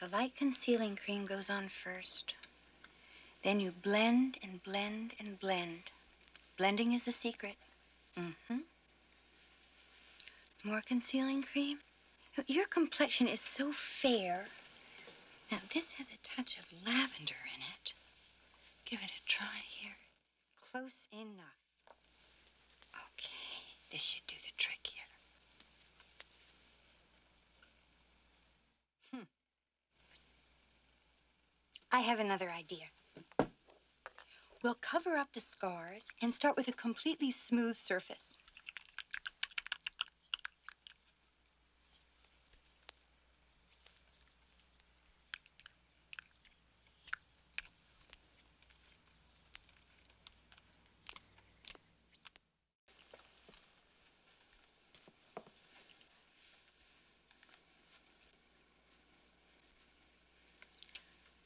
The light concealing cream goes on first. Then you blend and blend and blend Blending is the secret. Mm-hmm. More concealing cream. Your complexion is so fair. Now, this has a touch of lavender in it. Give it a try here. Close enough. Okay, this should do the trick here. Hmm. I have another idea. We'll cover up the scars and start with a completely smooth surface.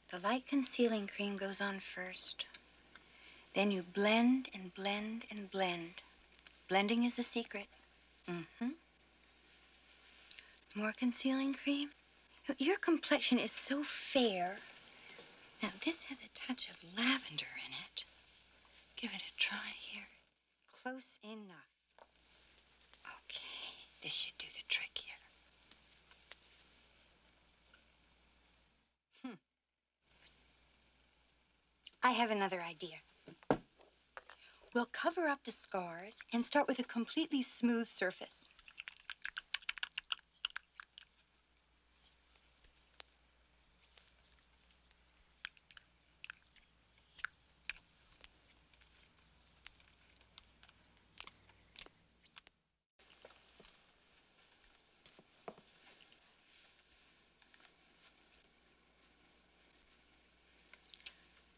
The light concealing cream goes on first. Then you blend and blend and blend. Blending is the secret. Mm-hmm. More concealing cream? Your complexion is so fair. Now, this has a touch of lavender in it. Give it a try here. Close enough. Okay, this should do the trick here. Hmm. I have another idea. We'll cover up the scars and start with a completely smooth surface.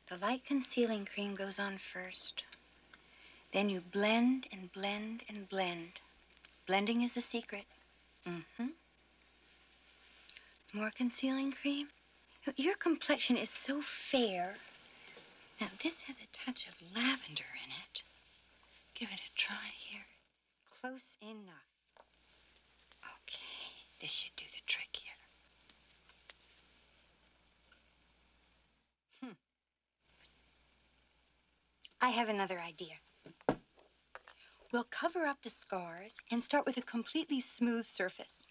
The light concealing cream goes on first. Then you blend and blend and blend. Blending is the secret. Mm-hmm. More concealing cream. Your complexion is so fair. Now, this has a touch of lavender in it. Give it a try here. Close enough. Okay, this should do the trick here. Hmm. I have another idea. We'll cover up the scars and start with a completely smooth surface.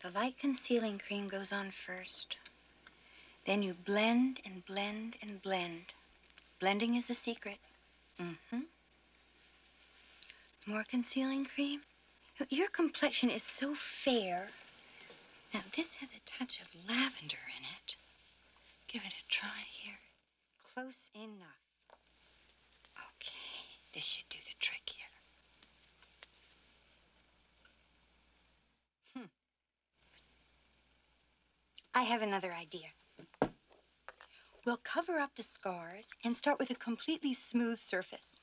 The light concealing cream goes on first. Then you blend and blend and blend. Blending is the secret. Mm-hmm. More concealing cream. Your complexion is so fair. Now, this has a touch of lavender in it. Give it a try here. Close enough. Okay, this should do the trick here. Hmm. I have another idea. We'll cover up the scars and start with a completely smooth surface.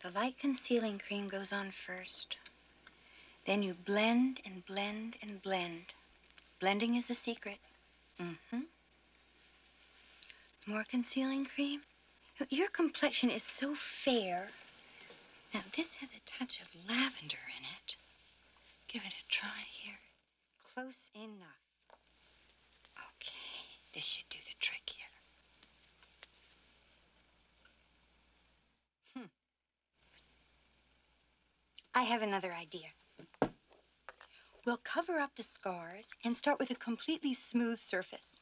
The light concealing cream goes on first. Then you blend and blend and blend. Blending is the secret. Mm-hmm. More concealing cream? Your complexion is so fair. Now, this has a touch of lavender in it. Give it a try here. Close enough. Okay, this should do the trick here. Hmm. I have another idea. We'll cover up the scars and start with a completely smooth surface.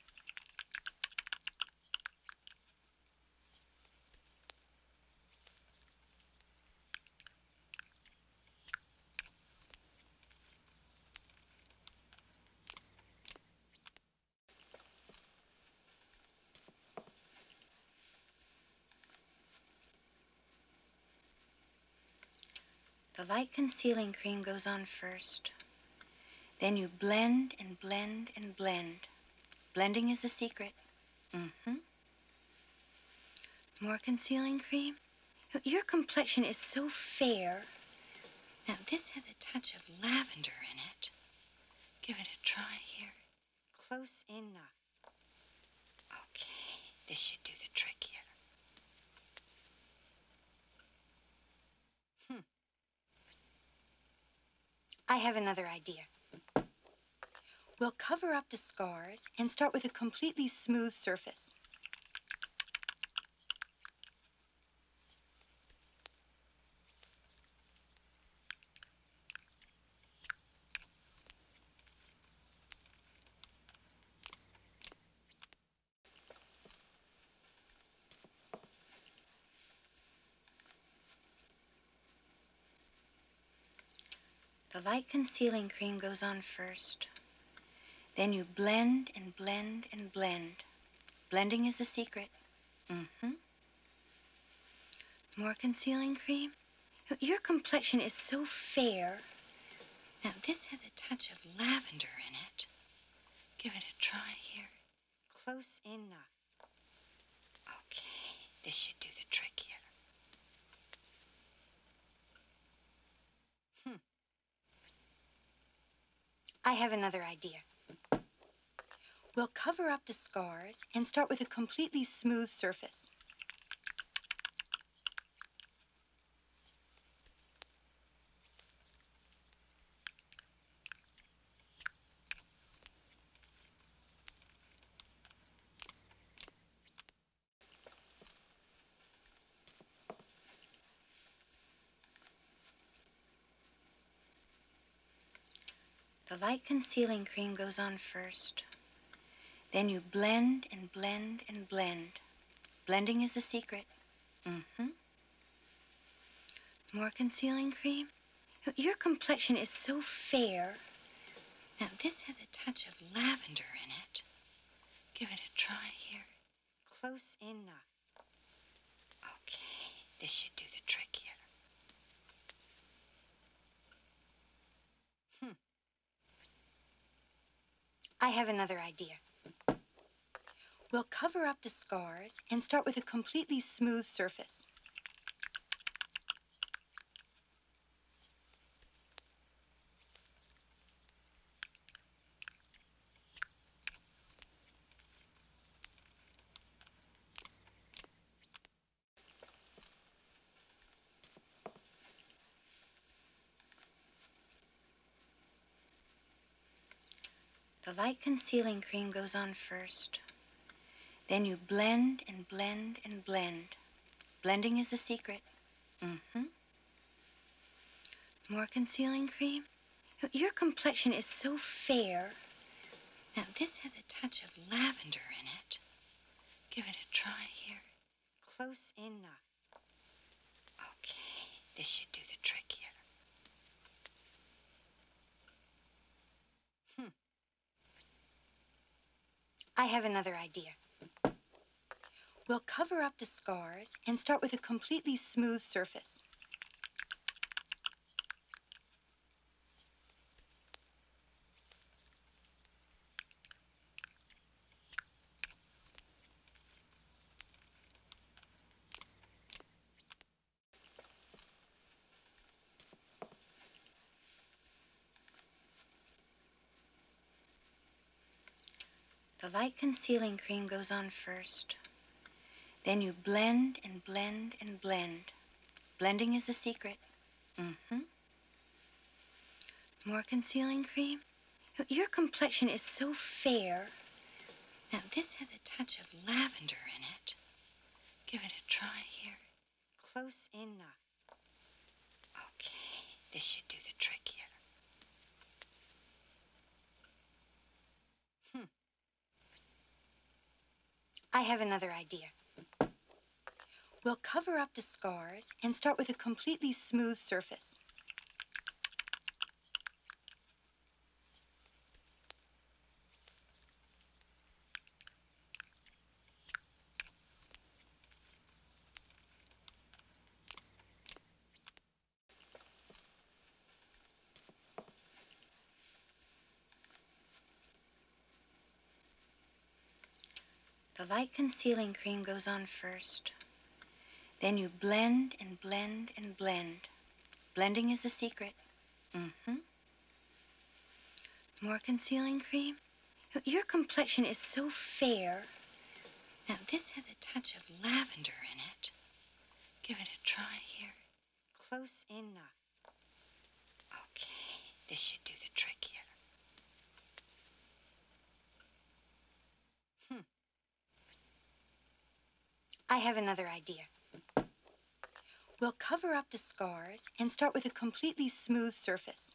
The light concealing cream goes on first. Then you blend and blend and blend. Blending is the secret. Mm-hmm. More concealing cream? Your complexion is so fair. Now, this has a touch of lavender in it. Give it a try here. Close enough. Okay, this should do the trick here. Hmm. I have another idea. We'll cover up the scars and start with a completely smooth surface. The light concealing cream goes on first. Then you blend and blend and blend. Blending is the secret. Mm-hmm. More concealing cream? Your complexion is so fair. Now, this has a touch of lavender in it. Give it a try here. Close enough. Okay, this should do the trick here. Hmm. I have another idea. We'll cover up the scars and start with a completely smooth surface. The light concealing cream goes on first. Then you blend and blend and blend. Blending is the secret. Mm-hmm. More concealing cream? Your complexion is so fair. Now, this has a touch of lavender in it. Give it a try here. Close enough. Okay, this should do the trick here. Hmm. I have another idea. We'll cover up the scars and start with a completely smooth surface. The light concealing cream goes on first. Then you blend and blend and blend Blending is the secret. Mm-hmm. More concealing cream. Your complexion is so fair. Now, this has a touch of lavender in it. Give it a try here. Close enough. Okay, this should do the trick here. Hmm. I have another idea. We'll cover up the scars and start with a completely smooth surface. The light concealing cream goes on first. Then you blend and blend and blend. Blending is the secret. Mm-hmm. More concealing cream? Your complexion is so fair. Now, this has a touch of lavender in it. Give it a try here. Close enough. Okay, this should do the trick here. Hmm. I have another idea. We'll cover up the scars and start with a completely smooth surface. The light concealing cream goes on first. Then you blend and blend and blend. Blending is the secret. Mm-hmm. More concealing cream. Your complexion is so fair. Now, this has a touch of lavender in it. Give it a try here. Close enough. Okay, this should do the trick here. Hmm. I have another idea. We'll cover up the scars and start with a completely smooth surface.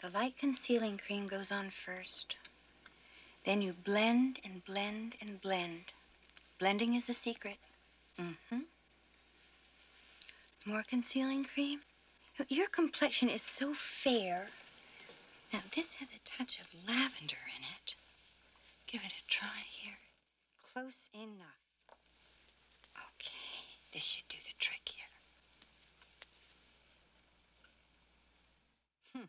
The light concealing cream goes on first. Then you blend and blend and blend. Blending is the secret. Mm-hmm. More concealing cream. Your complexion is so fair. Now, this has a touch of lavender in it. Give it a try here. Close enough. Okay, this should do the trick here. Hmm.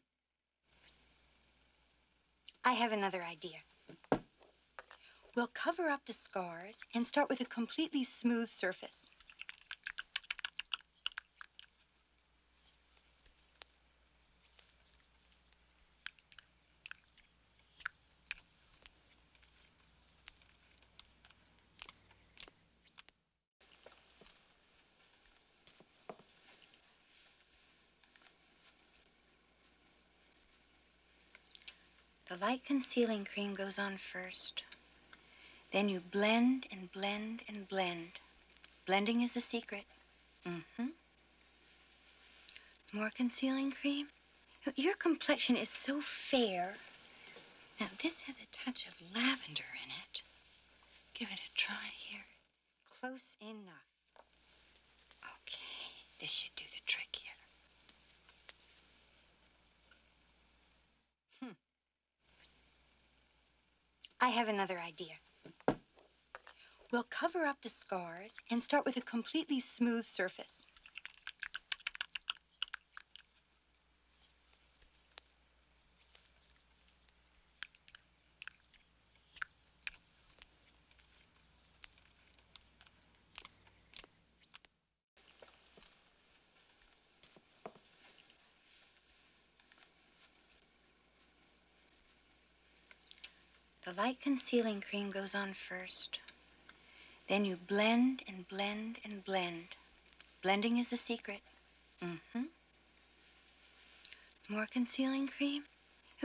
I have another idea. We'll cover up the scars and start with a completely smooth surface. The light concealing cream goes on first. Then you blend and blend and blend. Blending is the secret. Mm-hmm. More concealing cream? Your complexion is so fair. Now, this has a touch of lavender in it. Give it a try here. Close enough. Okay, this should do the trick here. Hmm. I have another idea. We'll cover up the scars and start with a completely smooth surface. The light concealing cream goes on first. Then you blend and blend and blend. Blending is the secret. Mm-hmm. More concealing cream?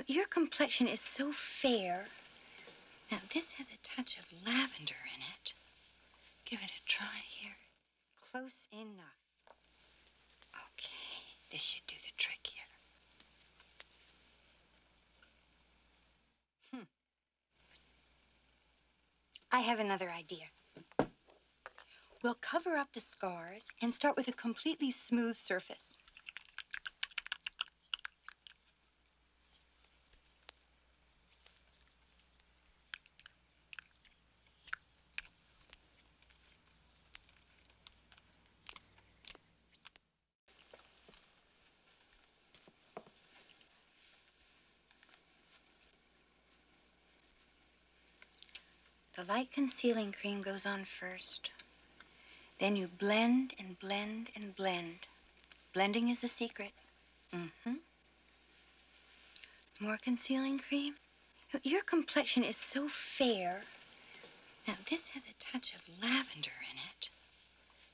Your complexion is so fair. Now, this has a touch of lavender in it. Give it a try here. Close enough. Okay, this should do the trick here. Hmm. I have another idea. We'll cover up the scars and start with a completely smooth surface. The light concealing cream goes on first. Then you blend and blend and blend. Blending is the secret. Mm-hmm. More concealing cream? Your complexion is so fair. Now, this has a touch of lavender in it.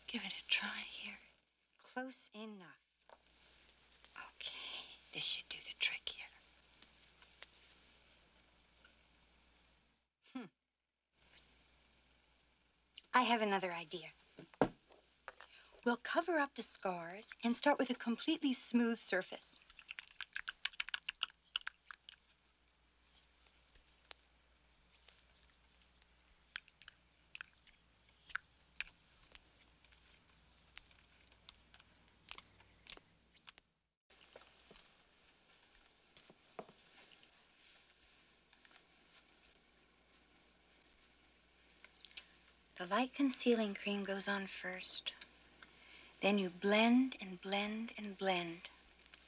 Give it a try here. Close enough. Okay, this should do the trick here. Hmm. I have another idea. We'll cover up the scars and start with a completely smooth surface. The light concealing cream goes on first. Then you blend and blend and blend.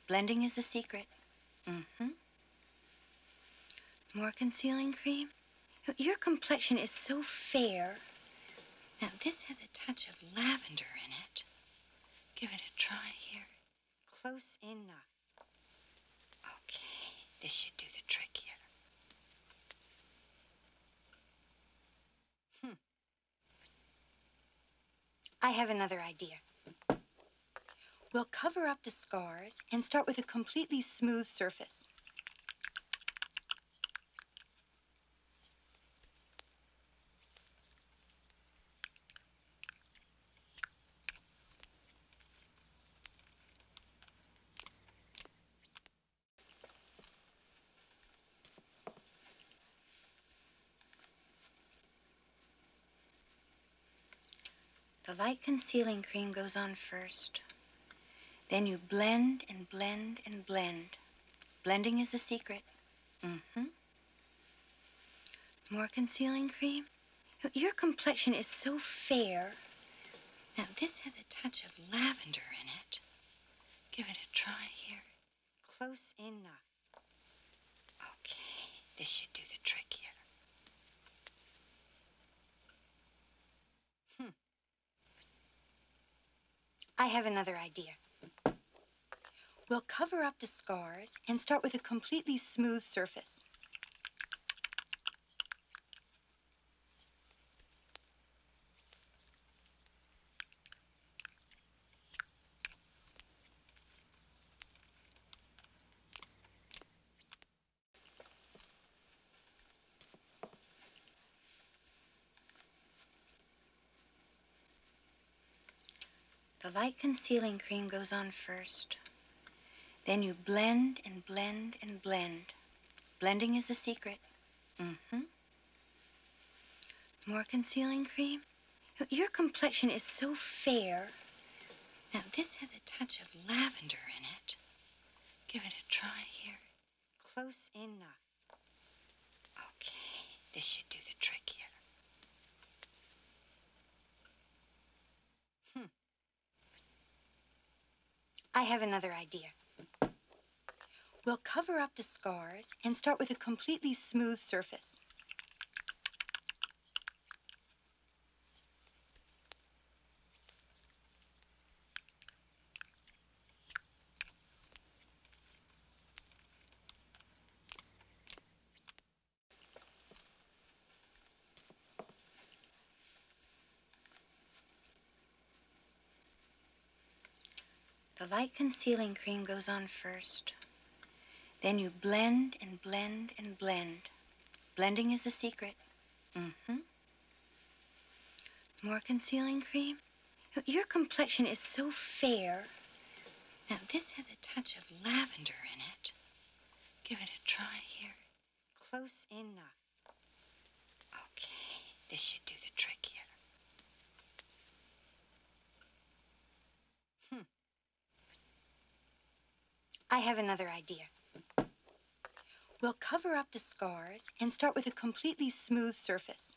Blending is the secret. Mm-hmm. More concealing cream. Your complexion is so fair. Now, this has a touch of lavender in it. Give it a try here. Close enough. Okay, this should do the trick here. Hmm. I have another idea. We'll cover up the scars and start with a completely smooth surface. The light concealing cream goes on first. Then you blend and blend and blend Blending is the secret. Mm-hmm. More concealing cream. Your complexion is so fair. Now, this has a touch of lavender in it. Give it a try here. Close enough. Okay, this should do the trick here. Hmm. I have another idea. We'll cover up the scars and start with a completely smooth surface. The light concealing cream goes on first. Then you blend and blend and blend. Blending is the secret. Mm-hmm. More concealing cream? Your complexion is so fair. Now, this has a touch of lavender in it. Give it a try here. Close enough. Okay, this should do the trick here. Hmm. I have another idea. We'll cover up the scars and start with a completely smooth surface. The light concealing cream goes on first. Then you blend and blend and blend. Blending is the secret. Mm-hmm. More concealing cream? Your complexion is so fair. Now, this has a touch of lavender in it. Give it a try here. Close enough. Okay, this should do the trick here. Hmm. I have another idea. We'll cover up the scars and start with a completely smooth surface.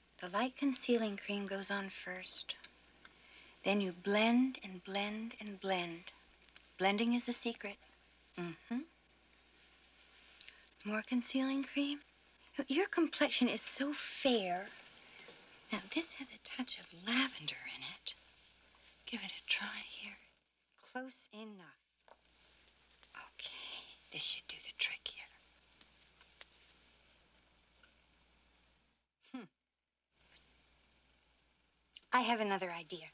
The light concealing cream goes on first. Then you blend and blend and blend. Blending is the secret. Mm-hmm. More concealing cream? Your complexion is so fair. Now, this has a touch of lavender in it. Give it a try here. Close enough. Okay, this should do the trick here. Hmm. I have another idea.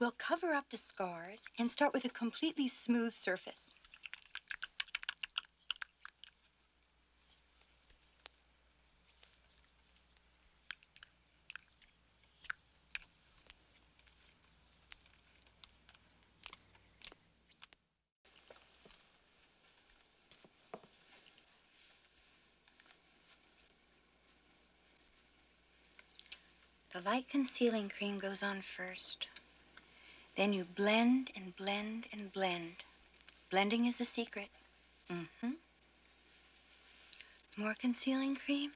We'll cover up the scars and start with a completely smooth surface. The light concealing cream goes on first. Then you blend and blend and blend. Blending is the secret. Mm-hmm. More concealing cream.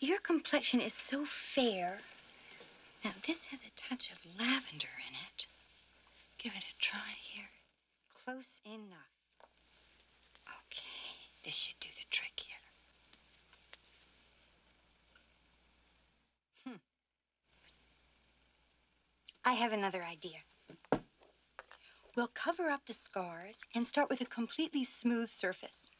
Your complexion is so fair. Now, this has a touch of lavender in it. Give it a try here. Close enough. Okay, this should do the trick here. Hmm. I have another idea. We'll cover up the scars and start with a completely smooth surface.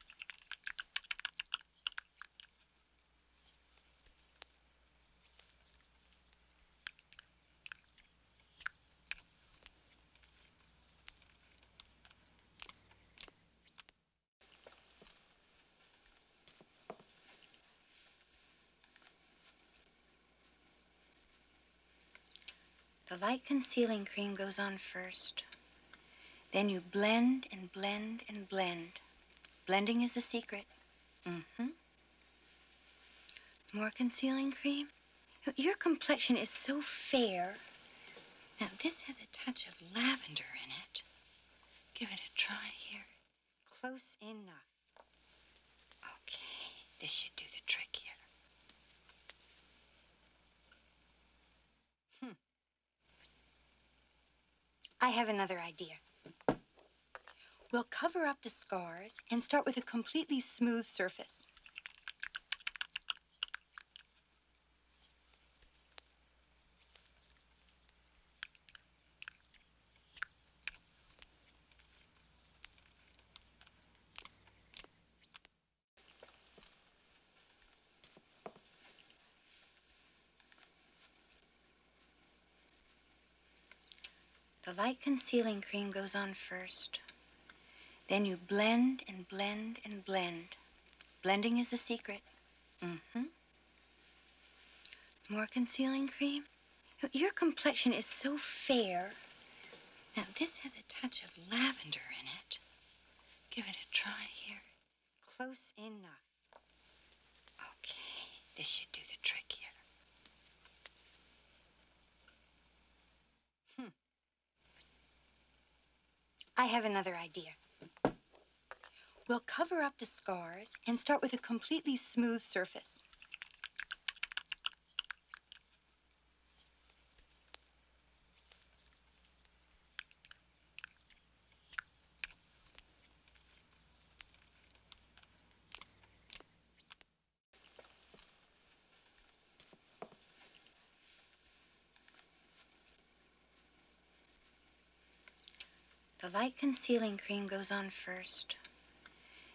The light concealing cream goes on first. Then you blend and blend and blend. Blending is the secret. hmm more concealing cream? Your complexion is so fair. Now, this has a touch of lavender in it. Give it a try here. Close enough. Okay, this should do the trick here. Hmm. I have another idea. We'll cover up the scars and start with a completely smooth surface. The light concealing cream goes on first. Then you blend and blend and blend. Blending is the secret. Mm-hmm. More concealing cream? Your complexion is so fair. Now, this has a touch of lavender in it. Give it a try here. Close enough. Okay, this should do the trick here. Hmm. I have another idea. We'll cover up the scars and start with a completely smooth surface. The light concealing cream goes on first.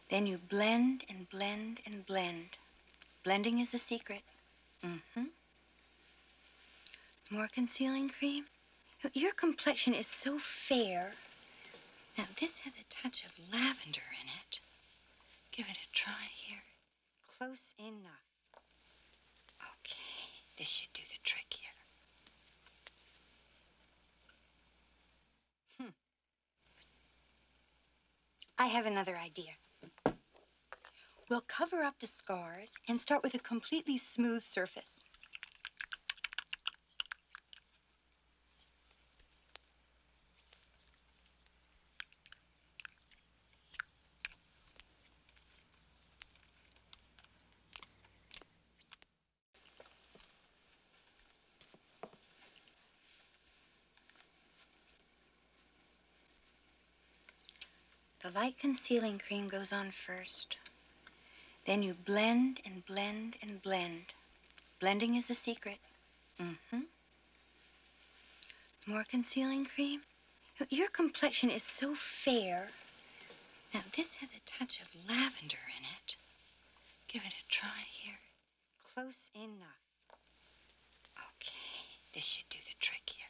Then you blend and blend and blend. Blending is the secret. Mm-hmm. More concealing cream? Your complexion is so fair. Now, this has a touch of lavender in it. Give it a try here. Close enough. Okay, this should do the trick here. Hmm. I have another idea. We'll cover up the scars and start with a completely smooth surface. The light concealing cream goes on first. Then you blend and blend and blend. Blending is the secret. Mm-hmm. More concealing cream. Your complexion is so fair. Now, this has a touch of lavender in it. Give it a try here. Close enough. Okay, this should do the trick here.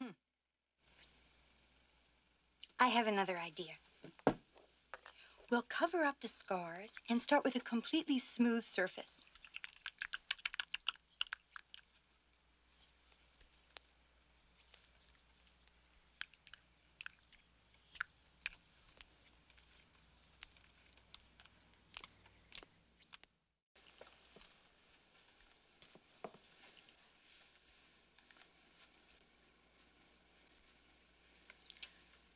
Hmm. I have another idea. We'll cover up the scars and start with a completely smooth surface.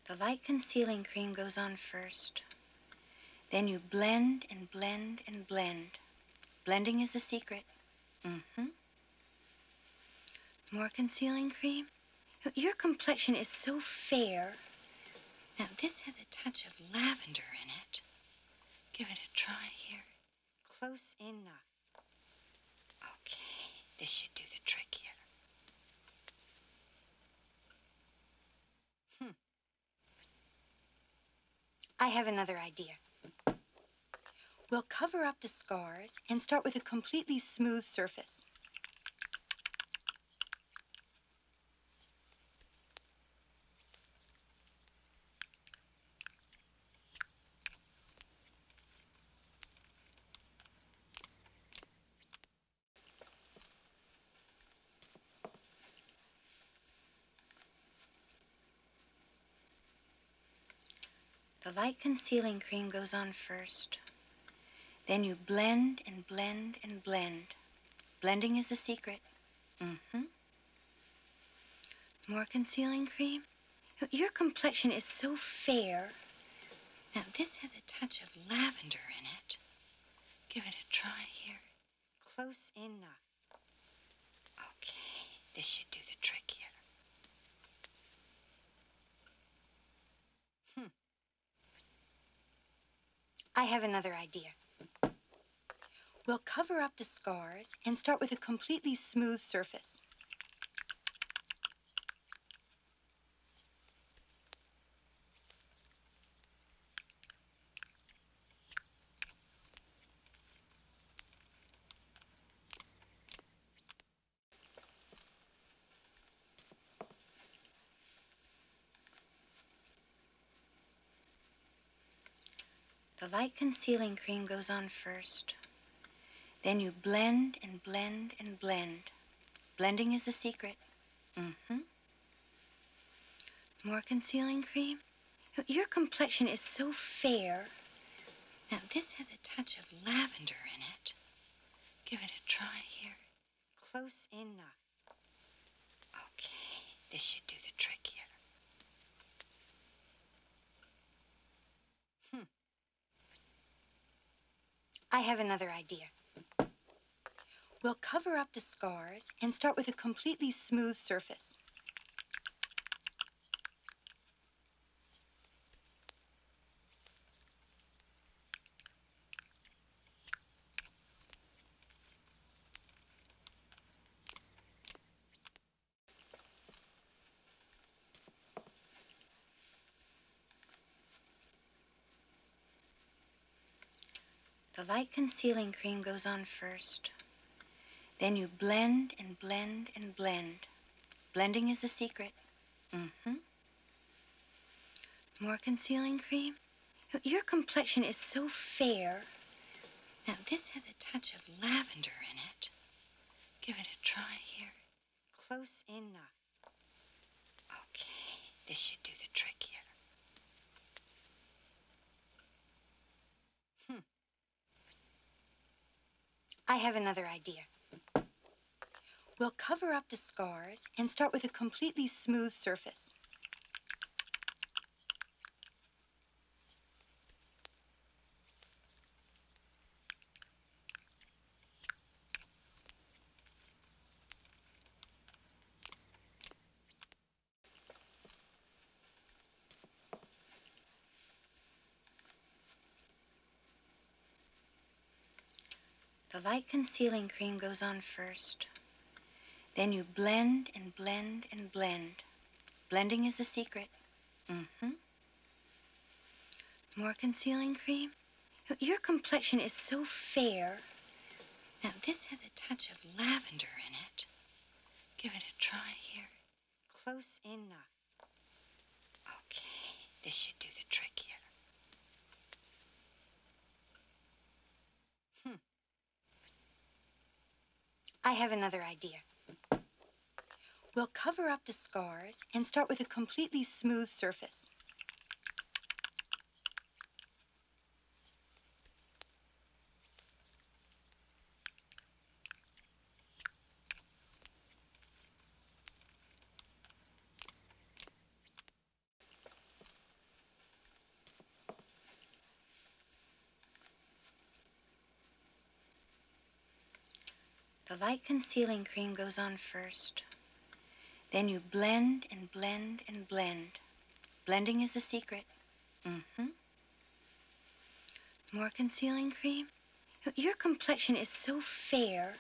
The light concealing cream goes on first. Then you blend and blend and blend. Blending is the secret. Mm-hmm. More concealing cream? Your complexion is so fair. Now, this has a touch of lavender in it. Give it a try here. Close enough. Okay, this should do the trick here. Hmm. I have another idea. We'll cover up the scars and start with a completely smooth surface. The light concealing cream goes on first. Then you blend and blend and blend. Blending is the secret. Mm-hmm. More concealing cream? Your complexion is so fair. Now, this has a touch of lavender in it. Give it a try here. Close enough. Okay, this should do the trick here. Hmm. I have another idea. We'll cover up the scars and start with a completely smooth surface. The light concealing cream goes on first. Then you blend and blend and blend. Blending is the secret. Mm-hmm. More concealing cream? Your complexion is so fair. Now, this has a touch of lavender in it. Give it a try here. Close enough. Okay, this should do the trick here. Hmm. I have another idea. We'll cover up the scars and start with a completely smooth surface. The light concealing cream goes on first. Then you blend and blend and blend. Blending is the secret. Mm-hmm. More concealing cream. Your complexion is so fair. Now, this has a touch of lavender in it. Give it a try here. Close enough. Okay, this should do the trick here. Hmm. I have another idea. We'll cover up the scars and start with a completely smooth surface. The light concealing cream goes on first. Then you blend and blend and blend. Blending is the secret. hmm more concealing cream? Your complexion is so fair. Now, this has a touch of lavender in it. Give it a try here. Close enough. Okay, this should do the trick here. Hmm. I have another idea. We'll cover up the scars and start with a completely smooth surface. The light concealing cream goes on first. Then you blend and blend and blend. Blending is the secret. Mm-hmm. More concealing cream? Your complexion is so fair.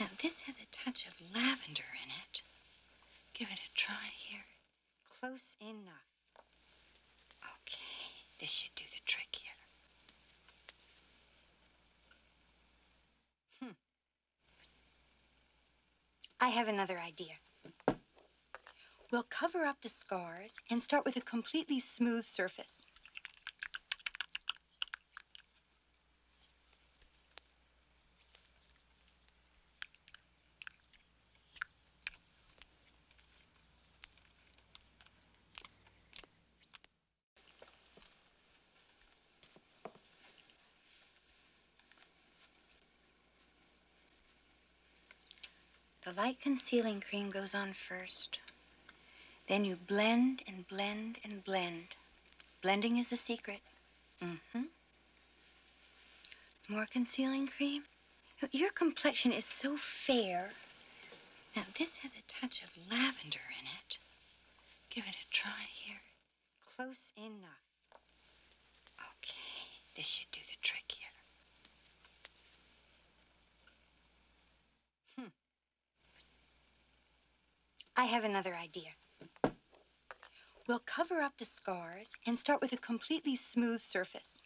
Now, this has a touch of lavender in it. Give it a try here. Close enough. Okay, this should do the trick here. Hmm. I have another idea. We'll cover up the scars and start with a completely smooth surface. The light concealing cream goes on first. Then you blend and blend and blend. Blending is the secret. Mm-hmm. More concealing cream. Your complexion is so fair. Now, this has a touch of lavender in it. Give it a try here. Close enough. Okay, this should do the trick here. Hmm. I have another idea. We'll cover up the scars and start with a completely smooth surface.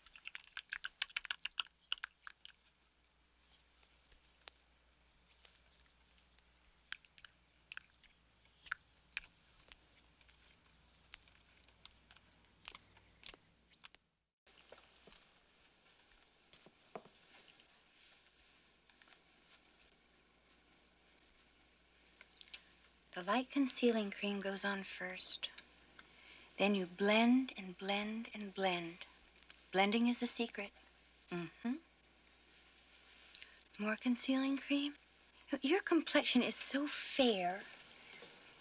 The light concealing cream goes on first. Then you blend and blend and blend. Blending is the secret. Mm-hmm. More concealing cream. Your complexion is so fair.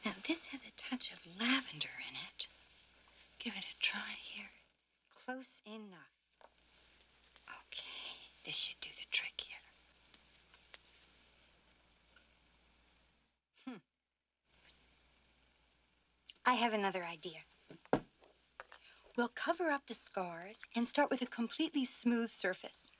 Now, this has a touch of lavender in it. Give it a try here. Close enough. Okay, this should do the trick here. Hmm. I have another idea. We'll cover up the scars and start with a completely smooth surface.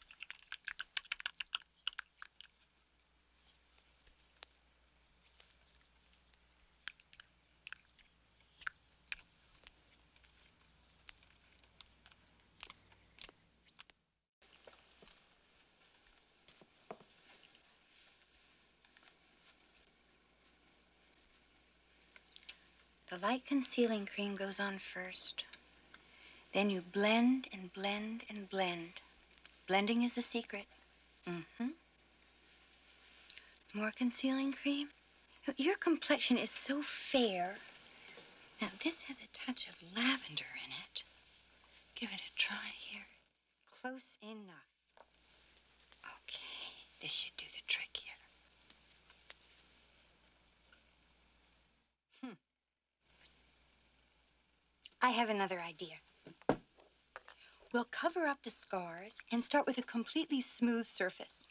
The light concealing cream goes on first. Then you blend and blend and blend. Blending is the secret. Mm-hmm. More concealing cream. Your complexion is so fair. Now, this has a touch of lavender in it. Give it a try here. Close enough. Okay, this should do the trick here. Hmm. I have another idea. We'll cover up the scars and start with a completely smooth surface.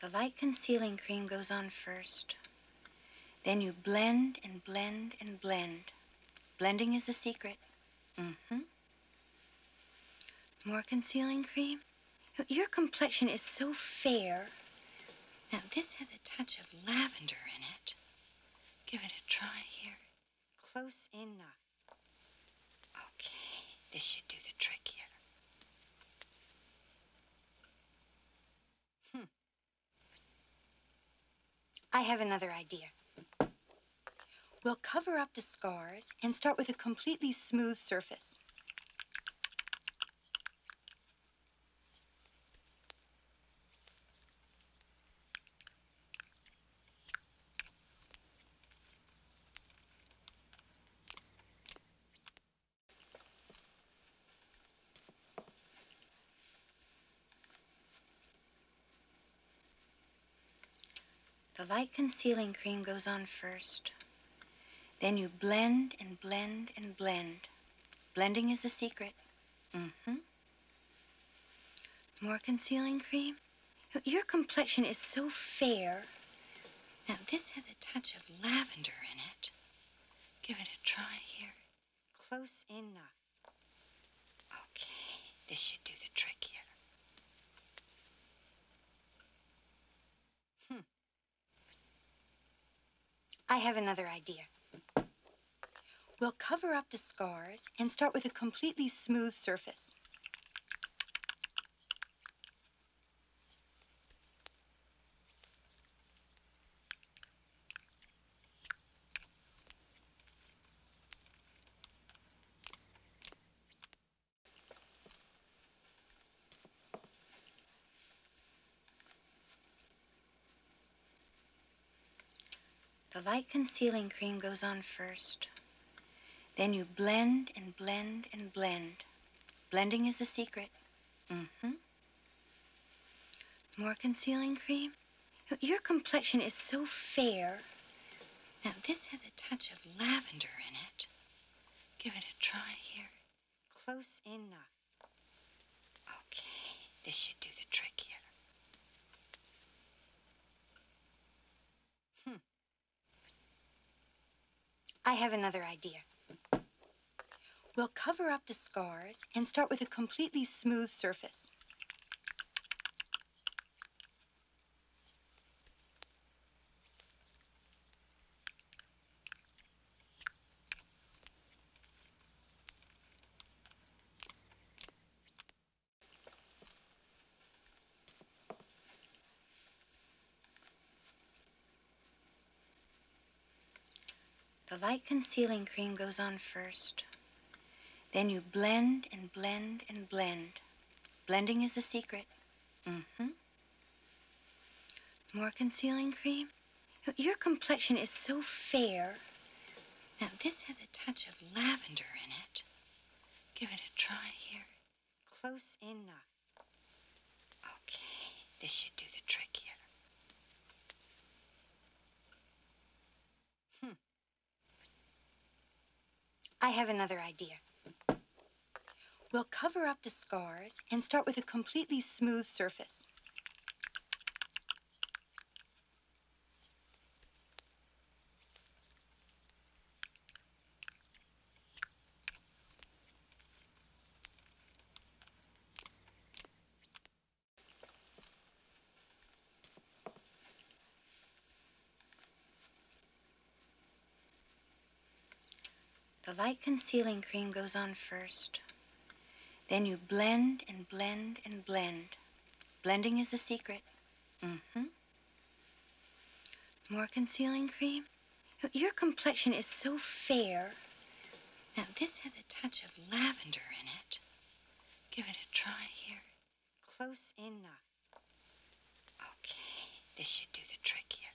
The light concealing cream goes on first. Then you blend and blend and blend. Blending is the secret. Mm-hmm. More concealing cream? Your complexion is so fair. Now, this has a touch of lavender in it. Give it a try here. Close enough. Okay, this should do the trick here. Hmm. I have another idea. We'll cover up the scars and start with a completely smooth surface. The light concealing cream goes on first. Then you blend and blend and blend. Blending is the secret. Mm-hmm. More concealing cream? Your complexion is so fair. Now, this has a touch of lavender in it. Give it a try here. Close enough. Okay, this should do the trick here. Hmm. I have another idea. We'll cover up the scars and start with a completely smooth surface. The light concealing cream goes on first. Then you blend and blend and blend. Blending is the secret. Mm-hmm. More concealing cream? Your complexion is so fair. Now, this has a touch of lavender in it. Give it a try here. Close enough. Okay, this should do the trick here. Hmm. I have another idea. We'll cover up the scars and start with a completely smooth surface. The light concealing cream goes on first. Then you blend and blend and blend. Blending is the secret. Mm-hmm. More concealing cream? Your complexion is so fair. Now, this has a touch of lavender in it. Give it a try here. Close enough. Okay, this should do the trick here. Hmm. I have another idea. We'll cover up the scars and start with a completely smooth surface. The light concealing cream goes on first. Then you blend and blend and blend. Blending is the secret. Mm-hmm. More concealing cream? Your complexion is so fair. Now, this has a touch of lavender in it. Give it a try here. Close enough. Okay, this should do the trick here.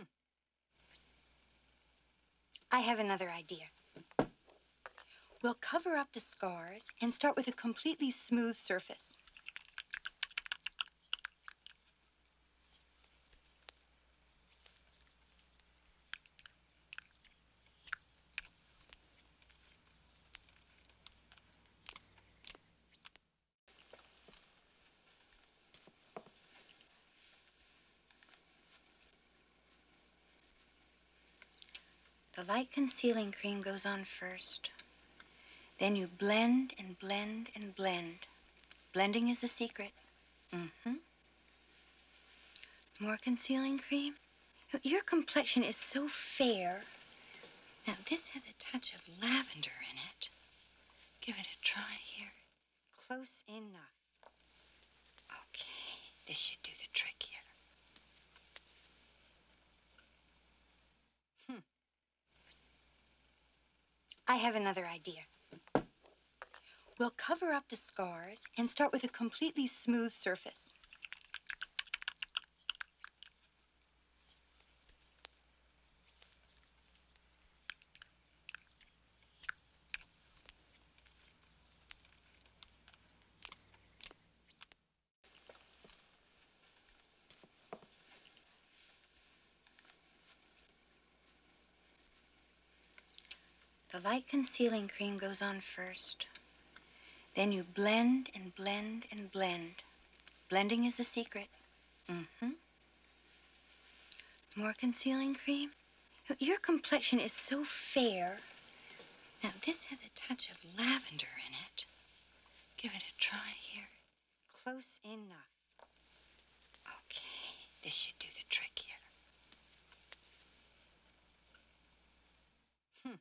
Hmm. I have another idea. We'll cover up the scars and start with a completely smooth surface. The light concealing cream goes on first. Then you blend and blend and blend. Blending is the secret. Mm-hmm. More concealing cream. Your complexion is so fair. Now, this has a touch of lavender in it. Give it a try here. Close enough. Okay, this should do the trick here. Hmm. I have another idea. We'll cover up the scars and start with a completely smooth surface. The light concealing cream goes on first. Then you blend and blend and blend. Blending is the secret. Mm-hmm. More concealing cream? Your complexion is so fair. Now, this has a touch of lavender in it. Give it a try here. Close enough. Okay, this should do the trick here. Hmm.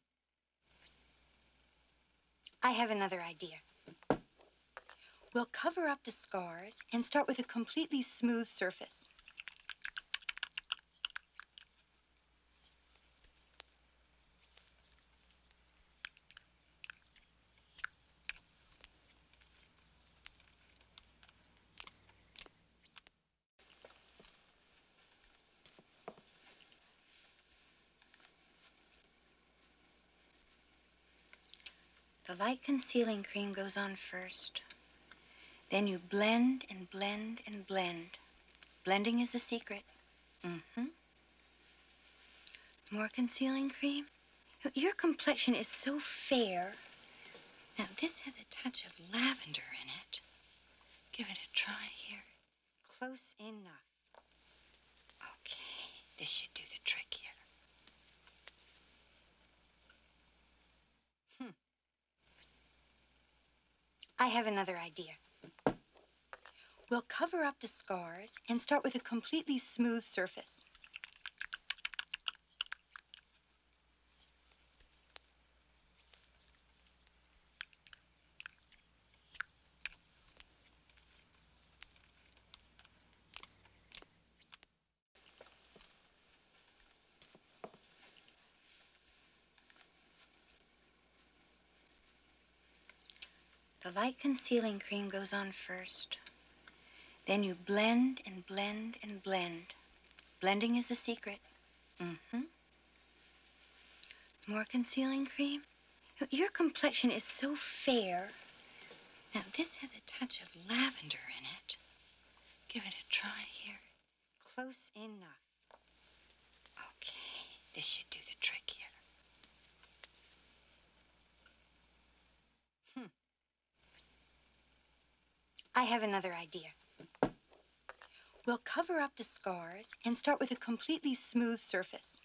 I have another idea. We'll cover up the scars and start with a completely smooth surface. The light concealing cream goes on first. Then you blend and blend and blend. Blending is the secret. Mm-hmm. More concealing cream. Your complexion is so fair. Now, this has a touch of lavender in it. Give it a try here. Close enough. Okay, this should do the trick here. Hmm. I have another idea. We'll cover up the scars and start with a completely smooth surface. The light concealing cream goes on first. Then you blend and blend and blend. Blending is the secret. Mm-hmm. More concealing cream? Your complexion is so fair. Now, this has a touch of lavender in it. Give it a try here. Close enough. Okay, this should do the trick here. Hmm. I have another idea. We'll cover up the scars and start with a completely smooth surface.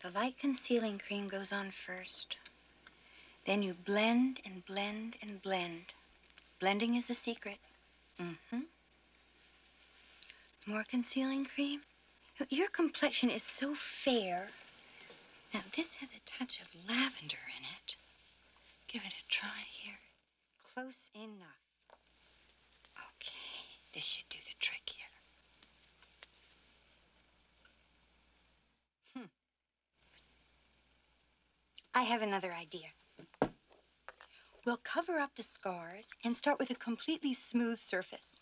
The light concealing cream goes on first. Then you blend and blend and blend. Blending is the secret. Mm-hmm. More concealing cream? Your complexion is so fair. Now, this has a touch of lavender in it. Give it a try here. Close enough. Okay, this should do the trick here. Hmm. I have another idea. We'll cover up the scars and start with a completely smooth surface.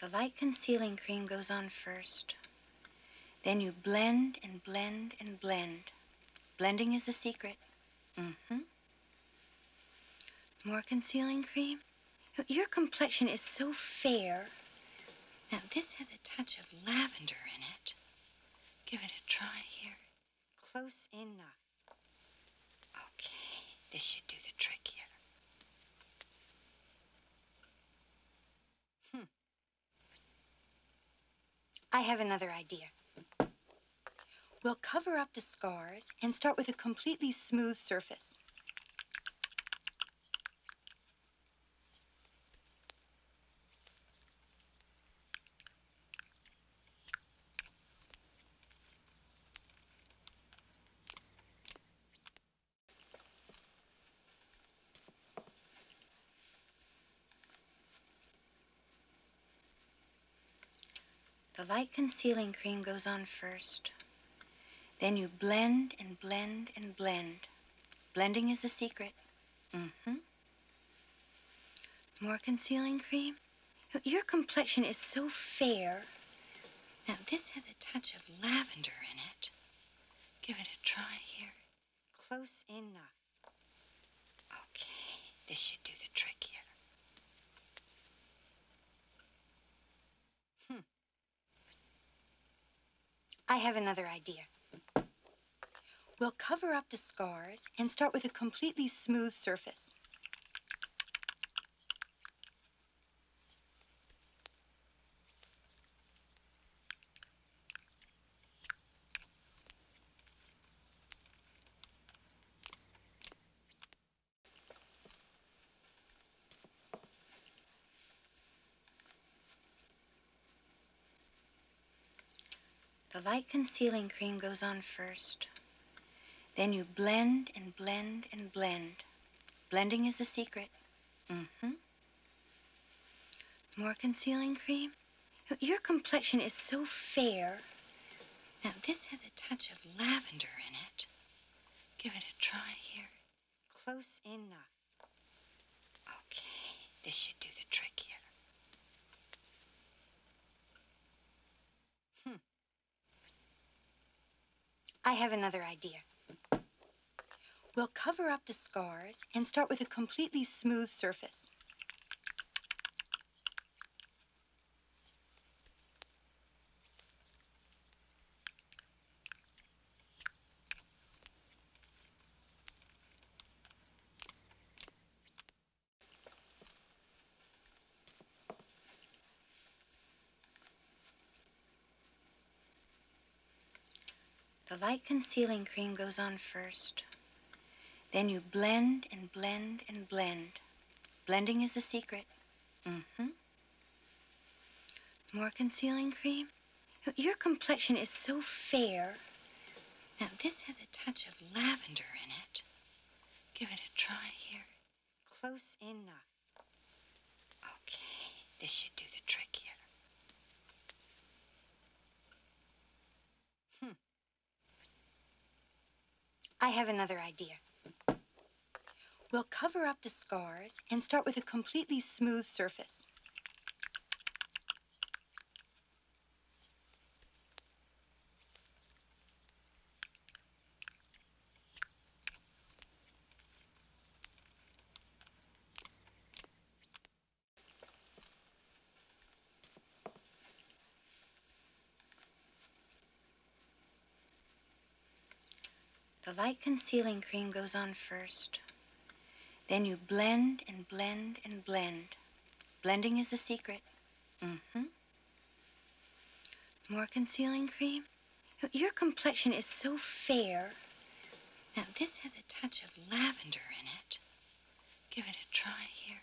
The light concealing cream goes on first. Then you blend and blend and blend. Blending is the secret. Mm-hmm. More concealing cream? Your complexion is so fair. Now this has a touch of lavender in it. Give it a try here. Close enough. Okay, this should do the trick here. Hmm. I have another idea. We'll cover up the scars and start with a completely smooth surface. The light concealing cream goes on first. Then you blend and blend and blend. Blending is the secret. Mm-hmm. More concealing cream? Your complexion is so fair. Now, this has a touch of lavender in it. Give it a try here. Close enough. Okay, this should do the trick here. Hmm. I have another idea. We'll cover up the scars and start with a completely smooth surface. The light concealing cream goes on first. Then you blend and blend and blend. Blending is the secret. Mm-hmm. More concealing cream. Your complexion is so fair. Now, this has a touch of lavender in it. Give it a try here. Close enough. Okay, this should do the trick here. Hmm. I have another idea. We'll cover up the scars and start with a completely smooth surface. The light concealing cream goes on first. Then you blend and blend and blend. Blending is the secret. Mm-hmm. More concealing cream. Your complexion is so fair. Now, this has a touch of lavender in it. Give it a try here. Close enough. Okay, this should do the trick here. Hmm. I have another idea. We'll cover up the scars and start with a completely smooth surface. The light concealing cream goes on first. Then you blend and blend and blend. Blending is the secret. Mm-hmm. More concealing cream. Your complexion is so fair. Now, this has a touch of lavender in it. Give it a try here.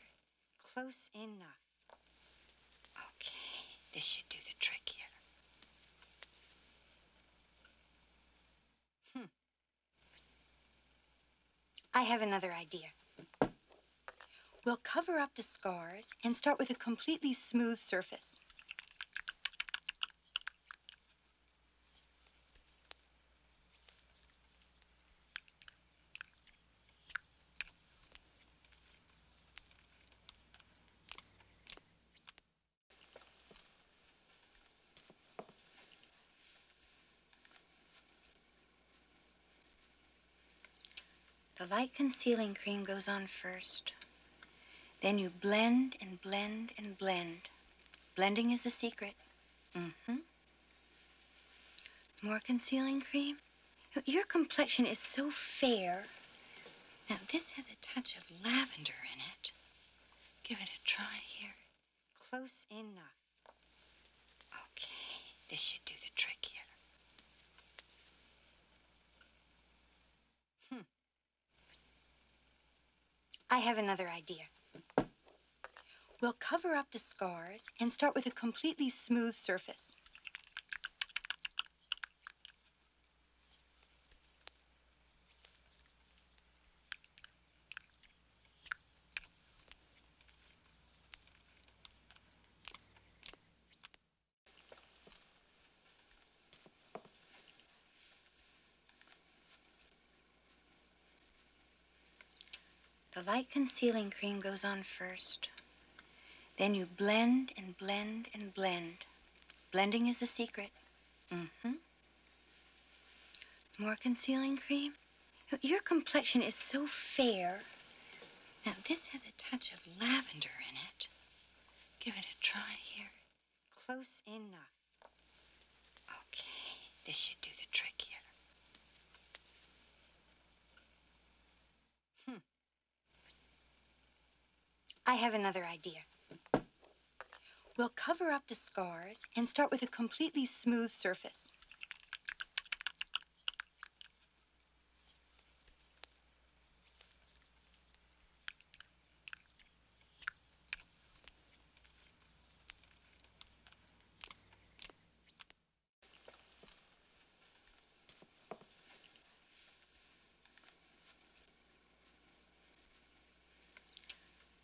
Close enough. Okay, this should do the trick here. Hmm. I have another idea. We'll cover up the scars and start with a completely smooth surface. The light concealing cream goes on first. Then you blend and blend and blend. Blending is the secret. Mm-hmm. More concealing cream? Your complexion is so fair. Now, this has a touch of lavender in it. Give it a try here. Close enough. Okay, this should do the trick here. Hmm. I have another idea. We'll cover up the scars and start with a completely smooth surface. The light concealing cream goes on first. Then you blend and blend and blend. Blending is the secret. Mm-hmm. More concealing cream? Your complexion is so fair. Now, this has a touch of lavender in it. Give it a try here. Close enough. Okay, this should do the trick here. Hmm. I have another idea. We'll cover up the scars and start with a completely smooth surface.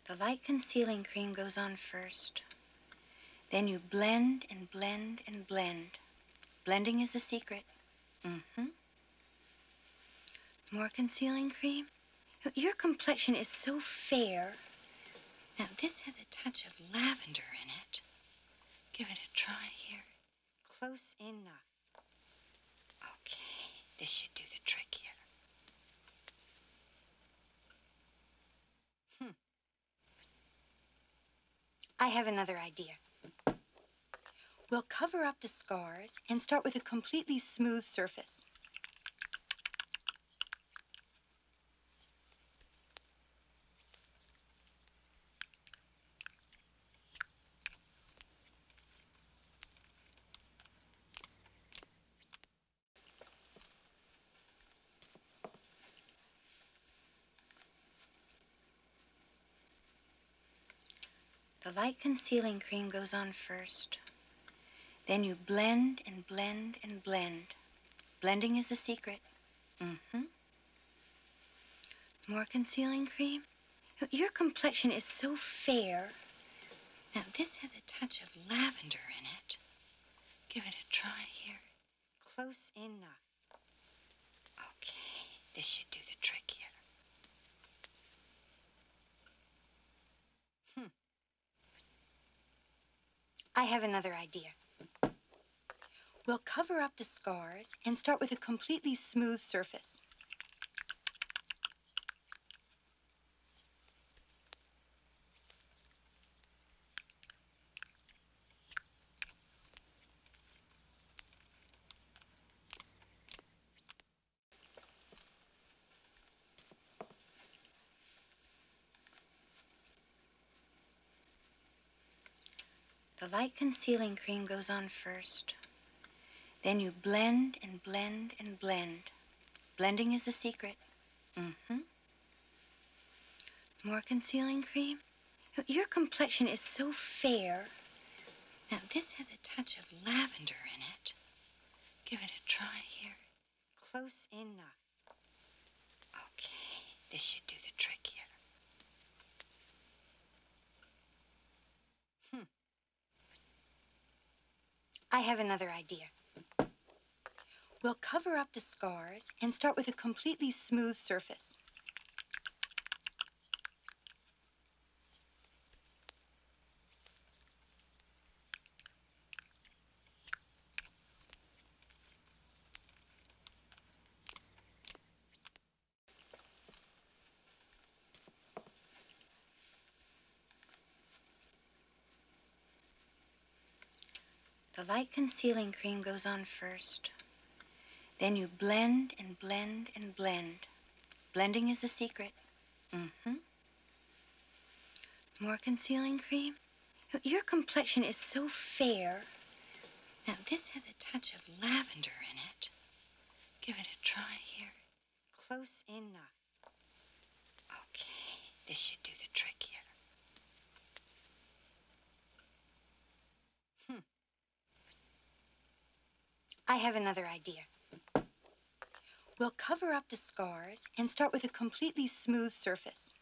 The light concealing cream goes on first. Then you blend and blend and blend. Blending is the secret. Mm-hmm. More concealing cream. Your complexion is so fair. Now, this has a touch of lavender in it. Give it a try here. Close enough. Okay, this should do the trick here. Hmm. I have another idea. We'll cover up the scars and start with a completely smooth surface. The light concealing cream goes on first. Then you blend and blend and blend. Blending is the secret. Mm-hmm. More concealing cream? Your complexion is so fair. Now this has a touch of lavender in it. Give it a try here. Close enough. Okay, this should do the trick here. Hmm. I have another idea. We'll cover up the scars and start with a completely smooth surface. The light concealing cream goes on first. Then you blend and blend and blend Blending is the secret. Mm-hmm. More concealing cream? Your complexion is so fair. Now, this has a touch of lavender in it. Give it a try here. Close enough. Okay, this should do the trick here. Hmm. I have another idea. We'll cover up the scars and start with a completely smooth surface. The light concealing cream goes on first. Then you blend and blend and blend. Blending is the secret. Mm-hmm. More concealing cream. Your complexion is so fair. Now, this has a touch of lavender in it. Give it a try here. Close enough. Okay, this should do the trick here. Hmm. I have another idea. We'll cover up the scars and start with a completely smooth surface.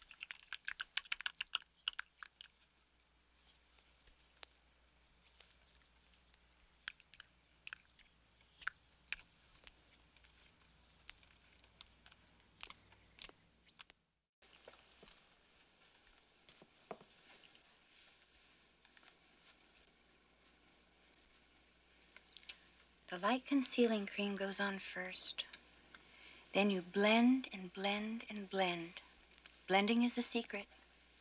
The light concealing cream goes on first. Then you blend and blend and blend. Blending is the secret.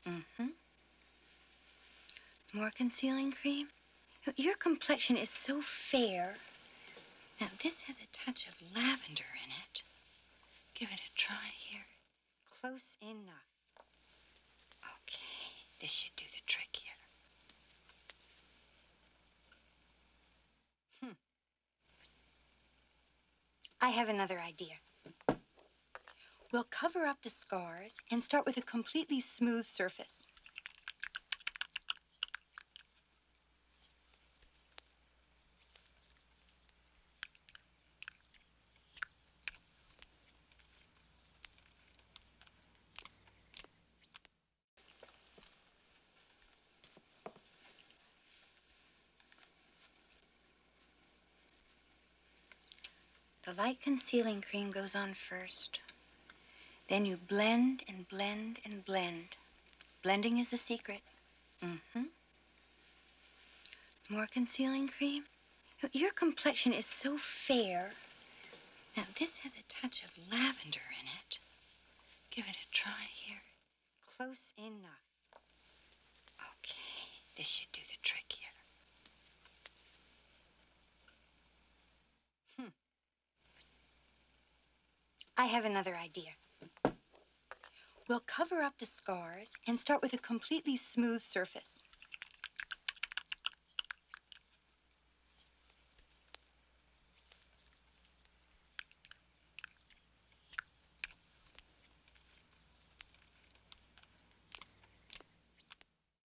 Mm-hmm. More concealing cream. Your complexion is so fair. Now, this has a touch of lavender in it. Give it a try here. Close enough. Okay, this should do the trick here. Hmm. I have another idea. We'll cover up the scars and start with a completely smooth surface. The light concealing cream goes on first. Then you blend and blend and blend. Blending is the secret. Mm-hmm. More concealing cream. Your complexion is so fair. Now, this has a touch of lavender in it. Give it a try here. Close enough. Okay, this should do the trick here. Hmm. I have another idea. We'll cover up the scars and start with a completely smooth surface.